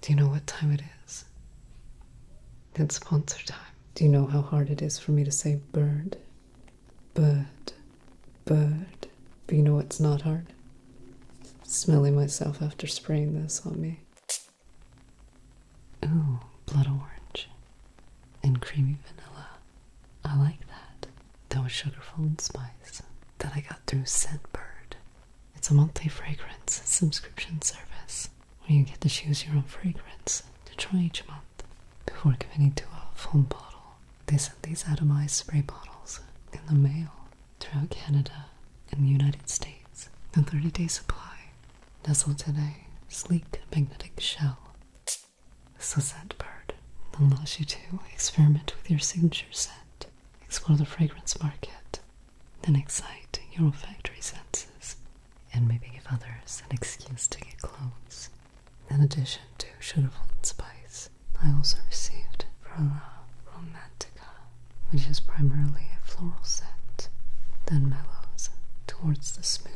Do you know what time it is? It's sponsor time. Do you know how hard it is for me to say bird? Bird. Bird. But you know what's not hard? Smelling myself after spraying this on me. Ooh, blood orange. And creamy vanilla. I like that. That was sugarful and spice. that I got through scent bird. It's a monthly fragrance subscription service where you get to choose your own fragrance to try each month before committing to a full bottle. They send these atomized spray bottles in the mail throughout Canada and the United States. A 30-day supply nestled in a sleek magnetic shell. This is a scent bird allows you to experiment with your signature scent Explore the fragrance market, then excite your olfactory senses, and maybe give others an excuse to get close. In addition to sugarful and spice, I also received Frala Romantica, which is primarily a floral scent, then mellows towards the smooth,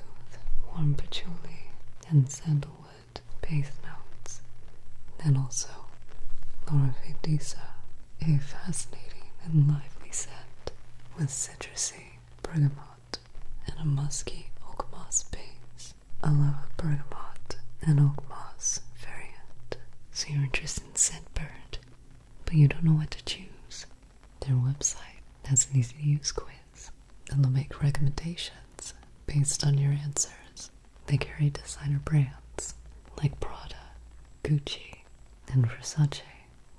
warm patchouli and sandalwood base notes, then also Lorifidisa, a fascinating and lively scent with citrusy bergamot and a musky oak moss base. I love a bergamot and oak moss variant. So you're interested in scent Scentbird, but you don't know what to choose. Their website has an easy to use quiz, and they'll make recommendations based on your answers. They carry designer brands like Prada, Gucci, and Versace,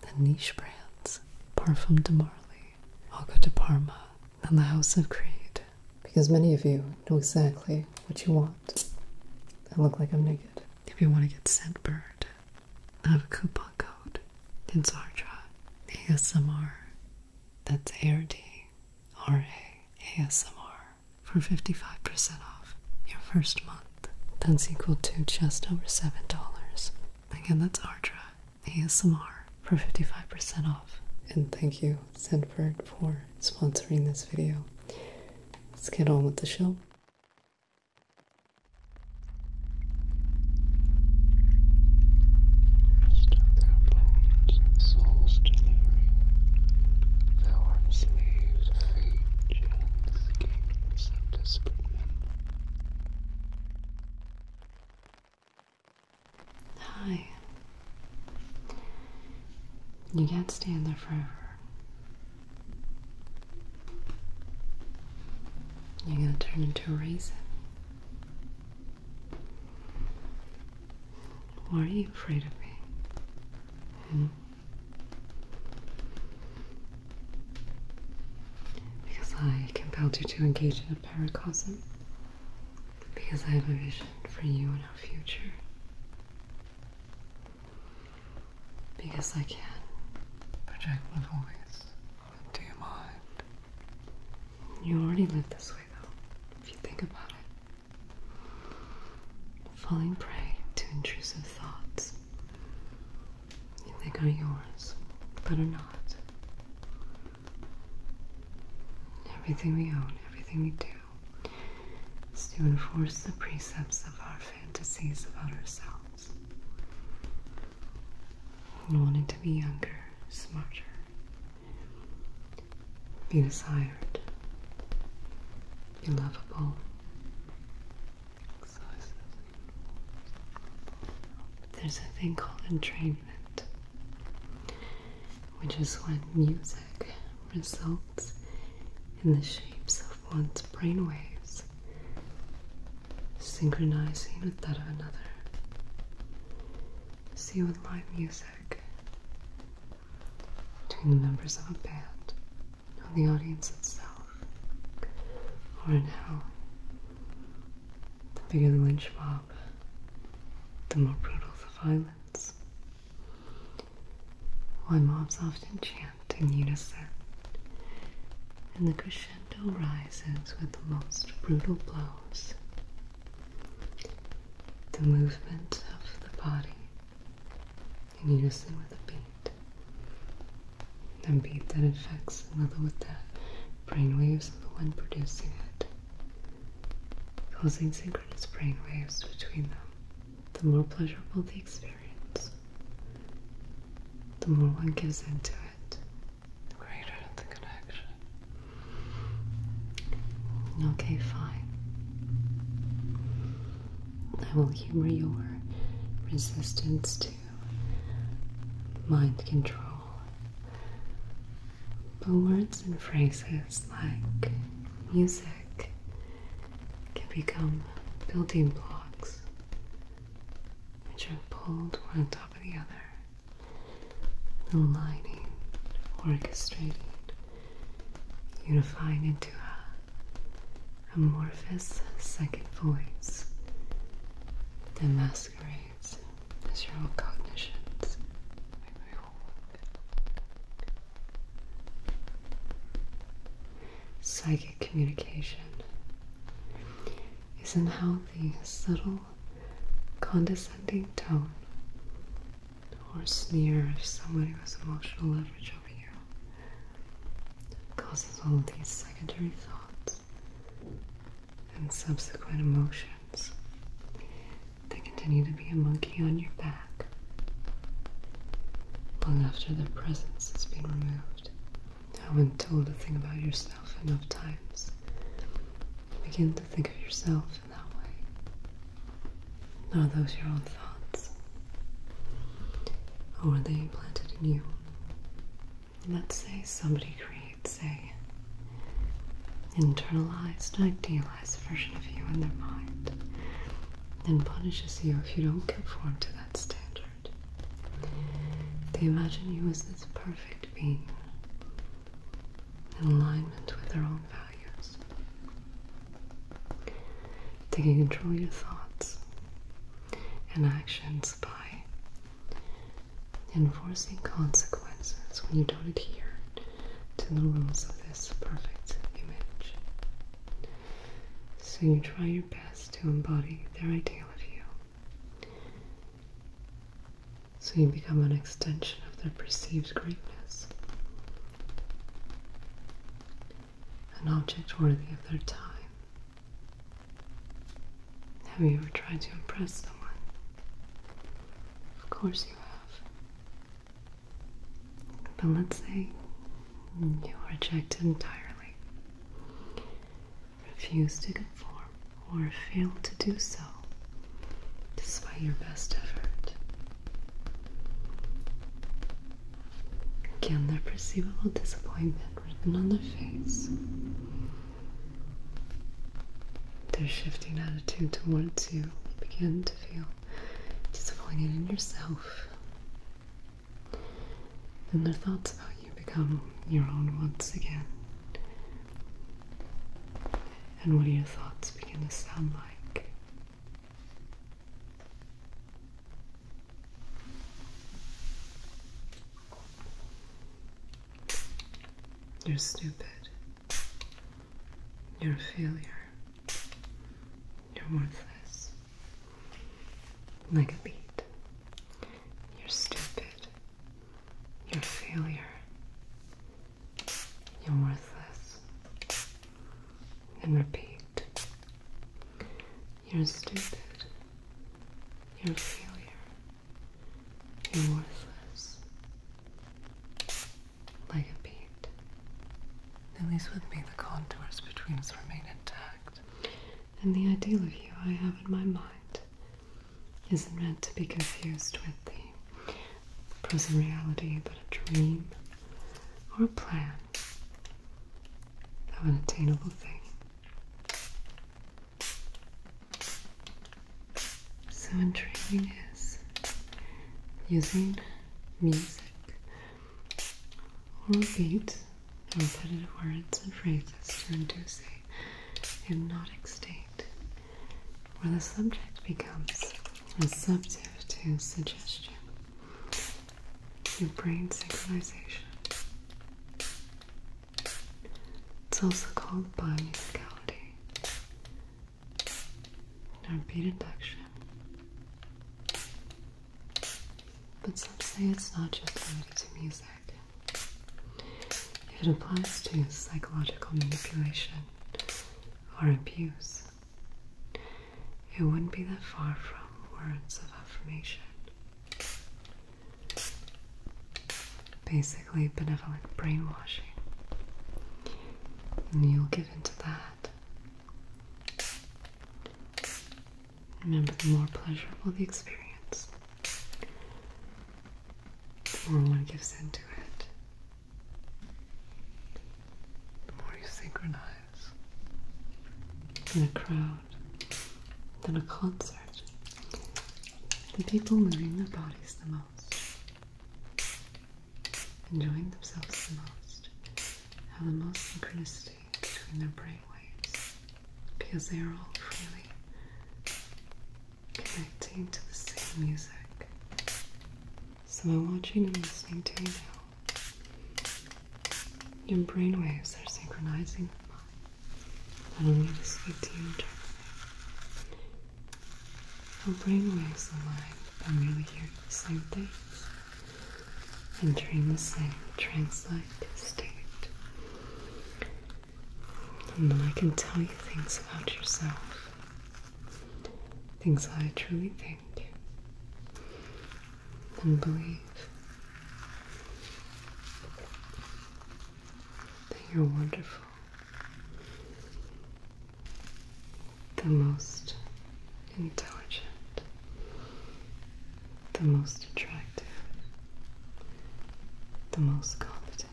and niche brands, Parfum de Marley, Alco de Parma, and the House of Creed. Because many of you know exactly what you want. I look like I'm naked. If you want to get sent bird, I have a coupon code. It's ARDRA. ASMR. That's A-R-D. R-A. ASMR for 55% off your first month. That's equal to just over $7. Again, that's Ardra ASMR for 55% off. And thank you, Zenford, for sponsoring this video. Let's get on with the show. Hi. You can't stand there forever. You're gonna turn into a raisin. Why are you afraid of me? Hmm? Because I compelled you to engage in a paracosm. Because I have a vision for you and our future. Because I can project my voice into your mind. You already live this way, though, if you think about it falling prey to intrusive thoughts. You are yours, but are not. Everything we own, everything we do, is to enforce the precepts of our fantasies about ourselves. And wanting to be younger, smarter, be desired, be lovable. There's a thing called entrainment, which is when music results in the shapes of one's brainwaves synchronizing with that of another. See, with live music, between the members of a band or the audience itself, or in hell. the bigger the lynch mob, the more brutal the violence. Why mobs often chant in unison, and the crescendo rises with the most brutal blows the movement of the body in unison with the beat. and beat that affects another with the brainwaves of the one producing it, causing synchronous brainwaves between them. The more pleasurable the experience, the more one gives into it, the greater the connection. Okay, fine. I will humor your resistance to mind control. But words and phrases like music can become building blocks which are pulled one on top of the other, aligning, orchestrating unifying into a amorphous psychic voice that masquerades as your own cognitions. Psychic communication is in how the subtle, condescending tone or sneer if somebody has emotional leverage over you. causes all of these secondary thoughts and subsequent emotions. They continue to be a monkey on your back long after their presence has been removed. Now, when told a thing about yourself enough times, begin to think of yourself those Are those your own thoughts? Or are they implanted in you? Let's say somebody creates a internalized, idealized version of you in their mind and punishes you if you don't conform to that standard. They imagine you as this perfect being in alignment with their own values values. Taking control of your thoughts and actions by enforcing consequences when you don't adhere to the rules of this perfect image. So you try your best to embody their ideal of you so you become an extension of their perceived greatness, an object worthy of their time. Have you ever tried to impress someone? Of course you have. But let's say you reject rejected entirely, refuse to conform, or fail to do so despite your best effort. Again, their perceivable disappointment written on their face. Their shifting attitude towards you, you begin to feel disappointed in yourself. And their thoughts about you become your own once again. And what do your thoughts begin to sound like? You're stupid. You're a failure. You're worthless. Like a beat. You're stupid. You're a failure. You're worthless. And repeat. You're stupid. You're a failure. You're worthless. Like a beat. At least with me, the contours between us remain intact. And the ideal of you I have in my mind isn't meant to be confused with the present reality, but a dream or a plan of an attainable thing. So, intriguing is using music or beat repetitive words and phrases to induce a hypnotic state where the subject becomes receptive to suggestion to brain synchronization. It's also called bimusicality or beat induction. But some say it's not just related to music. If It applies to psychological manipulation or abuse. It wouldn't be that far from words of affirmation. Basically, benevolent brainwashing. And you'll give into that. Remember, the more pleasurable the experience, the more one gives into it, the more you synchronize. In a crowd, than a concert, the people moving their bodies the most, enjoying themselves the most, have the most synchronicity between their brain waves because they are all freely connecting to the same music. So I'm watching and listening to you now. Your brainwaves are synchronizing with mine. And I'm going to speak to you directly. Your brainwaves and mine are merely hearing the same things, dreaming the same trance-like state. And then I can tell you things about yourself. Things I truly think and believe. That you're wonderful. The most intelligent. The most attractive. The most competent.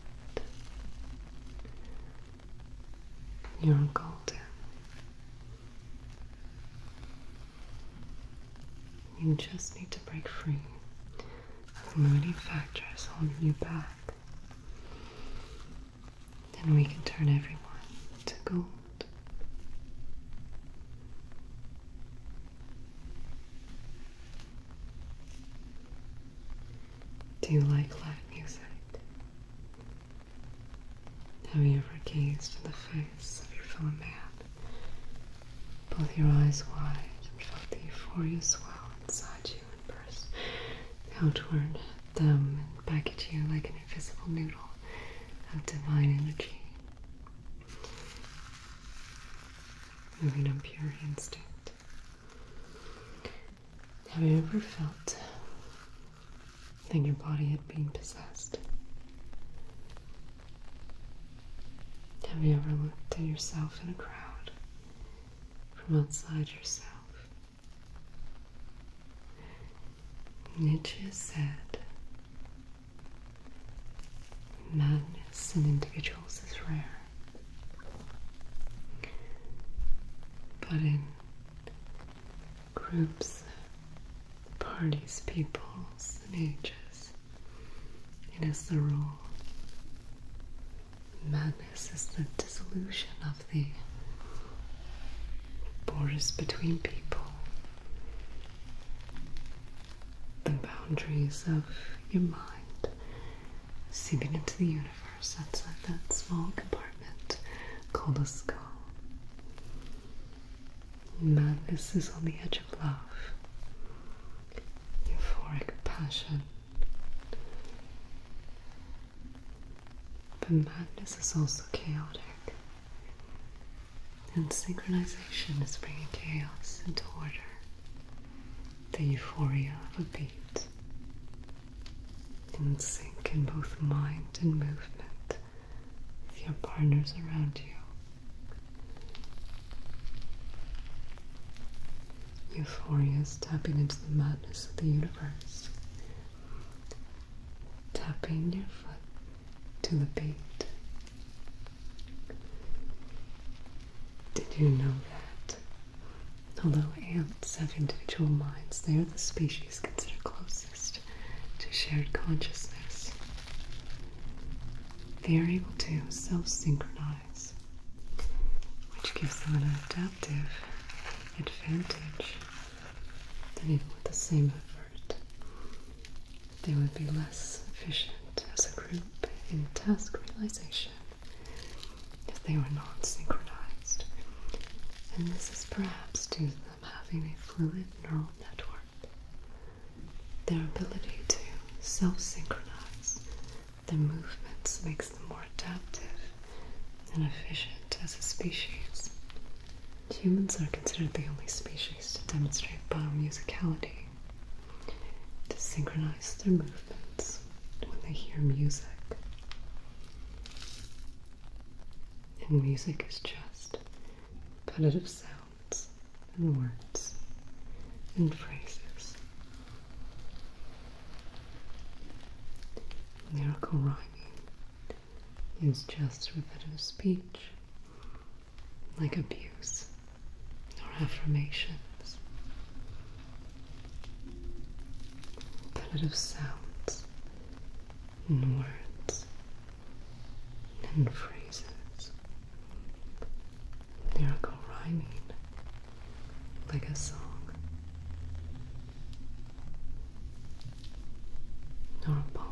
You're gold. You just need to break free of limiting factors holding you back. Then we can turn everyone to gold. Do you like live music? Have you ever gazed in the face of your fellow man? Both your eyes wide and felt the euphoria swell inside you and burst outward at them and back at you like an invisible noodle of divine energy. Moving on pure instinct. Have you ever felt that your body had been possessed? Have you ever looked at yourself in a crowd from outside yourself? Nietzsche said madness in individuals is rare. But in groups, parties, peoples, and ages, it is the rule. Madness is the dissolution of the borders between people the boundaries of your mind, seeping into the universe outside that small compartment called a skull. Madness is on the edge of love, euphoric passion. But madness is also chaotic. And synchronization is bringing chaos into order the euphoria of a beat, in sync in both mind and movement with your partners around you. Euphoria is tapping into the madness of the universe, tapping your foot to the beat did you know that? Although ants have individual minds, they are the species considered closest to shared consciousness. They are able to self synchronize, which gives them an adaptive advantage that even with the same effort, they would be less efficient as a group in task realization if they were not synchronized. And this is perhaps due to them having a fluid neural network. Their ability to self synchronize their movements makes them more adaptive and efficient as a species. Humans are considered the only species to demonstrate biomusicality to synchronize their movements when they hear music. And music is just repetitive sounds and words and phrases. Miracle rhyming is just repetitive speech like abuse or affirmations. A palette of sounds and words and phrases. Lyrical rhyming like a song. Nor a poem.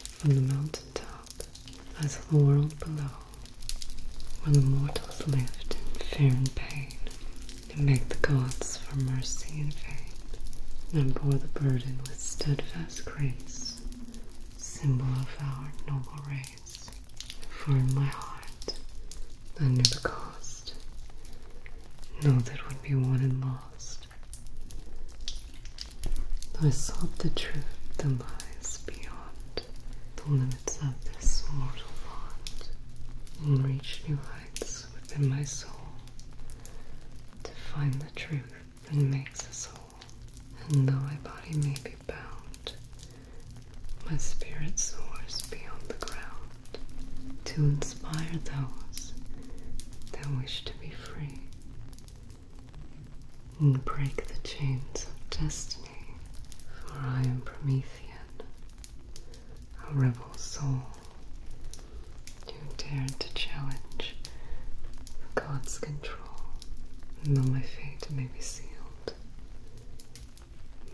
from the mountain top as of the world below, where the mortals lived in fear and pain, and begged the gods for mercy and faith, and bore the burden with steadfast grace, symbol of our noble race. For in my heart I knew the cost, know that would be won and lost I sought the truth that lies beyond the limits of this mortal world, and reached new heights within my soul to find the truth that makes us whole. And though my body may be bound, my spirit soars beyond the ground to inspire those their wish to be free and break the chains of destiny. For I am Promethean, a rebel soul who dared to challenge God's control. And though my fate may be sealed,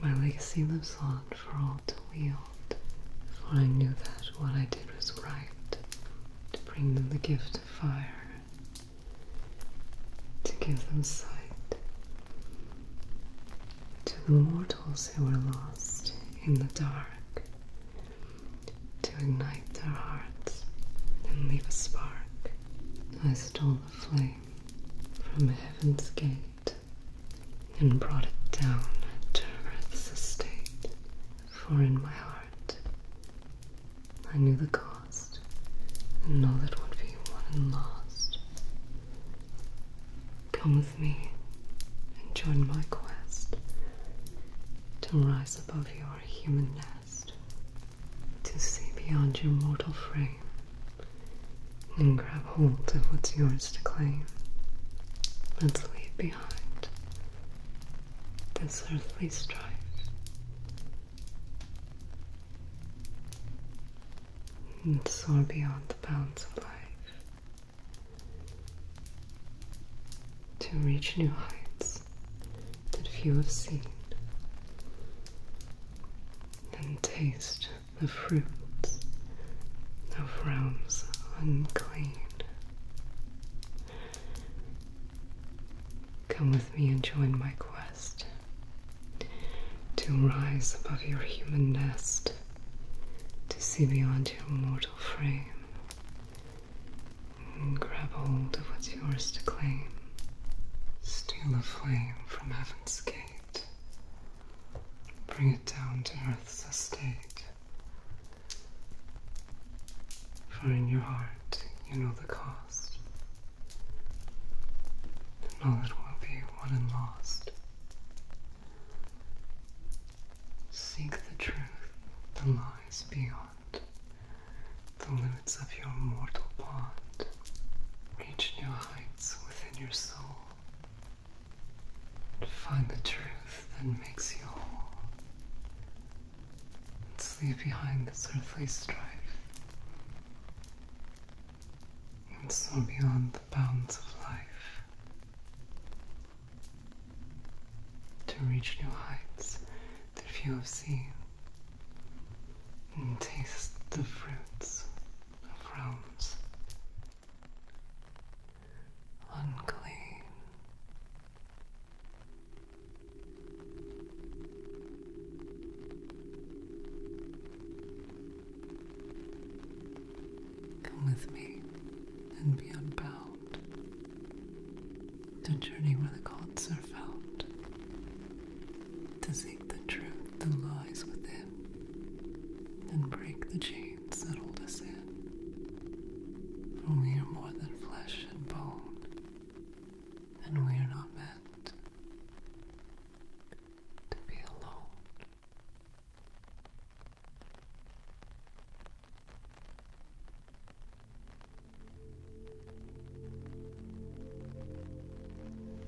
my legacy lives on for all to wield for I knew that what I did was right to bring them the gift of fire, to give them sight to the mortals who were lost in the dark, to ignite their hearts and leave a spark. I stole the flame from heaven's gate and brought it down to earth's estate. For in my heart I knew the cost, and all that would be won and lost. Come with me and join my quest to rise above your human nest, to see beyond your mortal frame, and grab hold of what's yours to claim. Let's leave behind this earthly strife. And soar beyond the bounds of life to reach new heights that few have seen and taste the fruits of realms unclean. Come with me and join my quest to rise above your human nest, to see beyond your mortal frame, and grab hold of what's yours to claim. Steal a flame from heaven's gate, bring it down to earth's estate. For in your heart you know the cost, and all that will be won and lost. Seek the truth that lies beyond the limits of your mortal bond. Reach new heights within your soul. To Find the truth that makes you whole. let leave behind this earthly strife. And soar beyond the bounds of life. To reach new heights that few have seen. And taste the fruits of realms unclean. Come with me and be unbound. To journey where the gods are found. To seek the truth that lies within and break the chains plates that in. For we are more than flesh and bone, and we are not meant to be alone.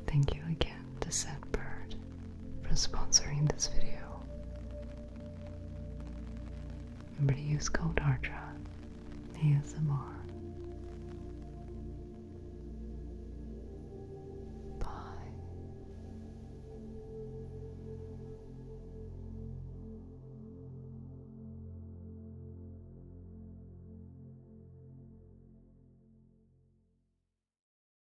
Thank you again the Set Bird for sponsoring this video. Remember to use code ARTRA ASMR. Bye.